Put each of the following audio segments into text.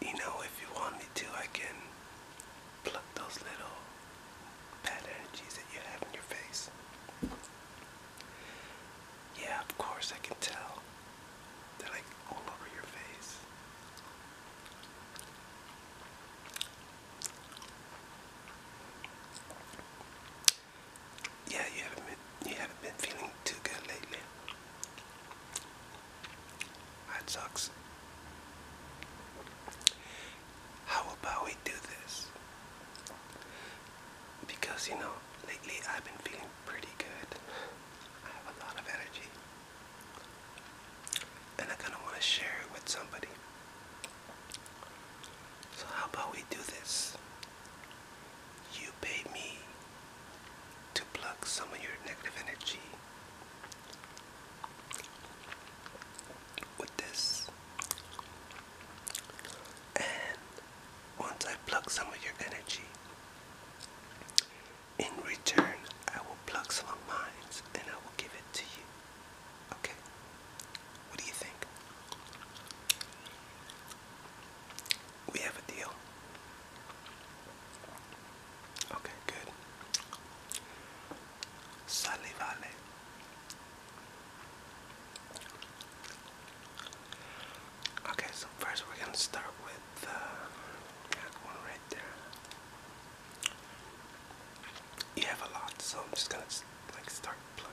You know, if you want me to, I can pluck those little bad energies that you have in your face. Yeah, of course, I can tell. They're like all over your face. Yeah, you haven't been, you haven't been feeling too good lately. That sucks. How about we do this? Because you know, lately I've been feeling pretty good. I have a lot of energy and I kind of want to share it with somebody. So, how about we do this? You pay me to pluck some of your negative energy with this, and once I pluck some of your energy, in return, I will pluck some of mine and I will give it to you. Okay. What do you think? We have a deal. Okay, good. Sale Okay, so first we're gonna start with that uh, one right there. You have a lot, so I'm just gonna like start plugging.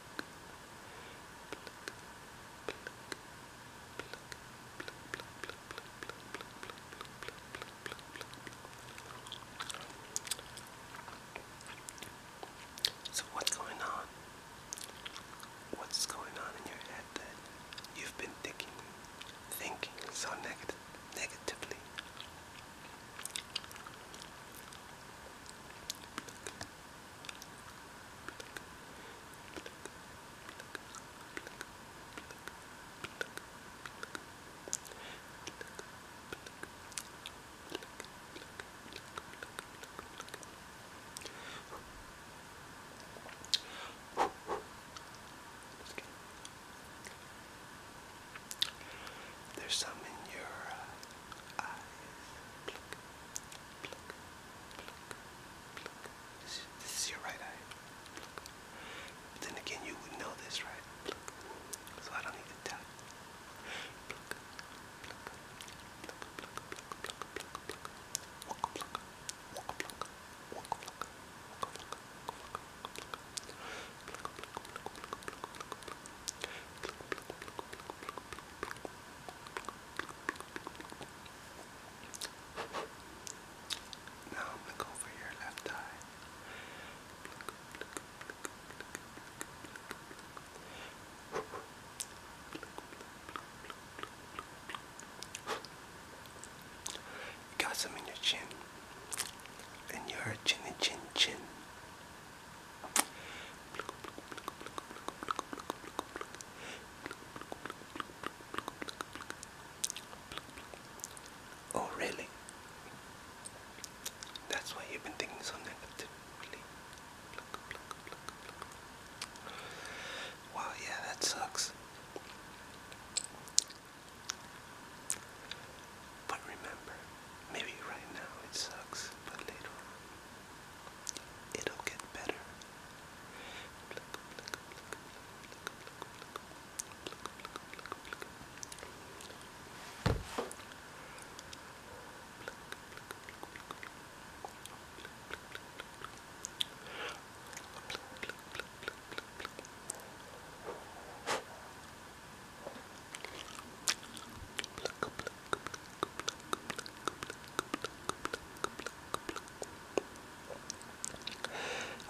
So, what's going on? What's going on in your head that you've been thinking, so negatively? There's some in your uh, this is, your right eye. But then again, you would know this, right? So I don't need to tell now I'm gonna go for your left eye. You got some in your chin, and your chin and chin chin. Oh, really? That's why you've been thinking so negatively. Wow, yeah, that sucks. But remember, maybe right now it sucks, but later on it'll get better.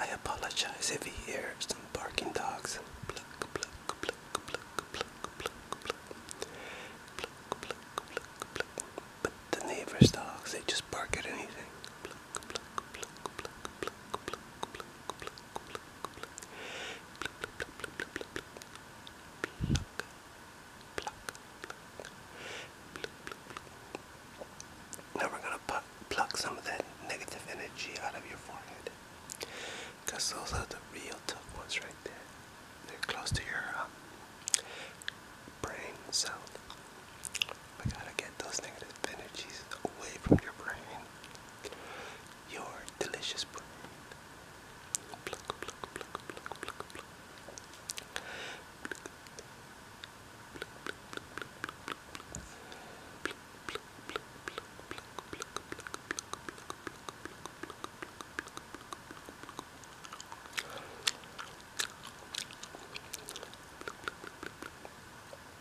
I apologize if you hear some barking dogs. But the neighbor's dogs, they just bark at anything. Pluck, pluck, pluck, pluck, pluck, pluck, pluck, pluck, pluck, now we're going to pluck some of that negative energy out of your forehead. Because those are the real tough ones right there. They're close to your um, brain cell. We gotta get those negative energies away from your brain. Your delicious brain.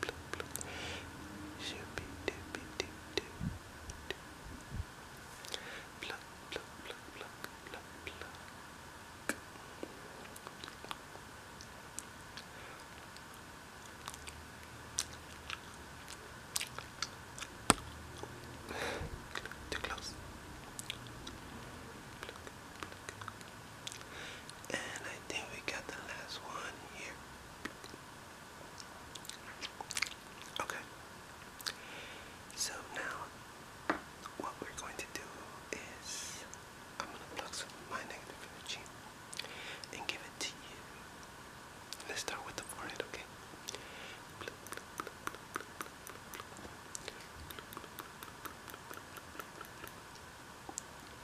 blue, blue, Too close. And I think we got the last one here. Okay. So now, what we're going to do is I'm going to plug some of my negative energy and give it to you. Let's start with the forehead, okay?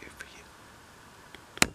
Here for you.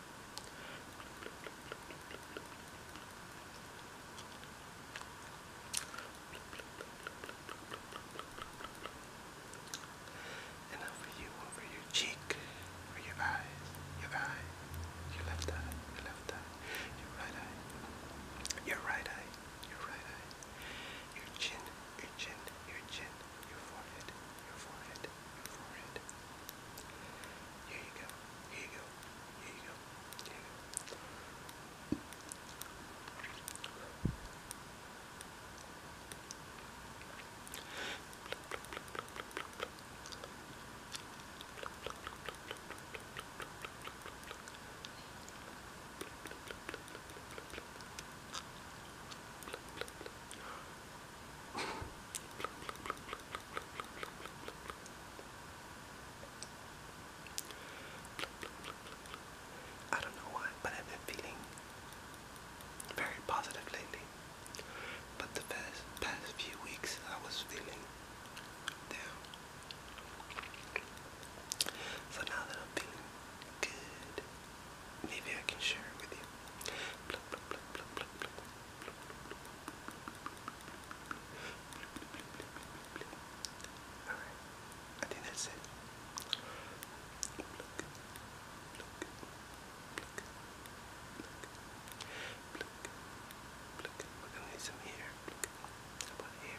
And over you, over your cheek, over your eyes, your eye, your left eye, your left eye, your right eye, your right eye, your right eye, your chin, your chin, your chin, your forehead, your forehead, forehead, forehead. Here you go, here you go, here you go, here you go. Good, I don't know why, but I've been feeling very positive lately. But the past, few weeks, I was feeling down. So now that I'm feeling good, Maybe I can share it with you. Alright, I think that's it. We're gonna need some here. about here?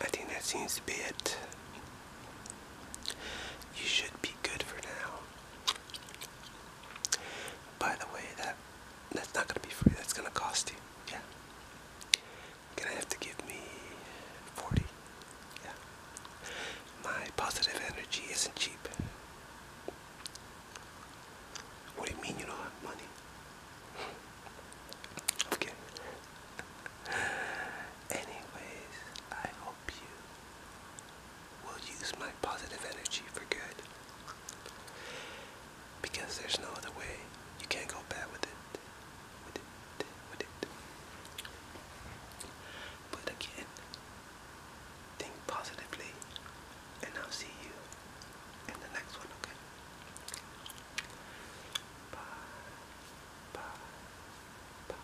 I think that seems to be it. You should be good for now. By the way, that that's not gonna be free. That's gonna cost you. Yeah. You're gonna have to give me forty. Yeah. My positive energy isn't cheap. What do you mean you don't have money? i Anyways, I hope you will use my positive energy for good. Because there's no other way. You can't go bad with it. With it. With it. But again, think positively. And I'll see you in the next one, okay? Bye. Bye. Bye.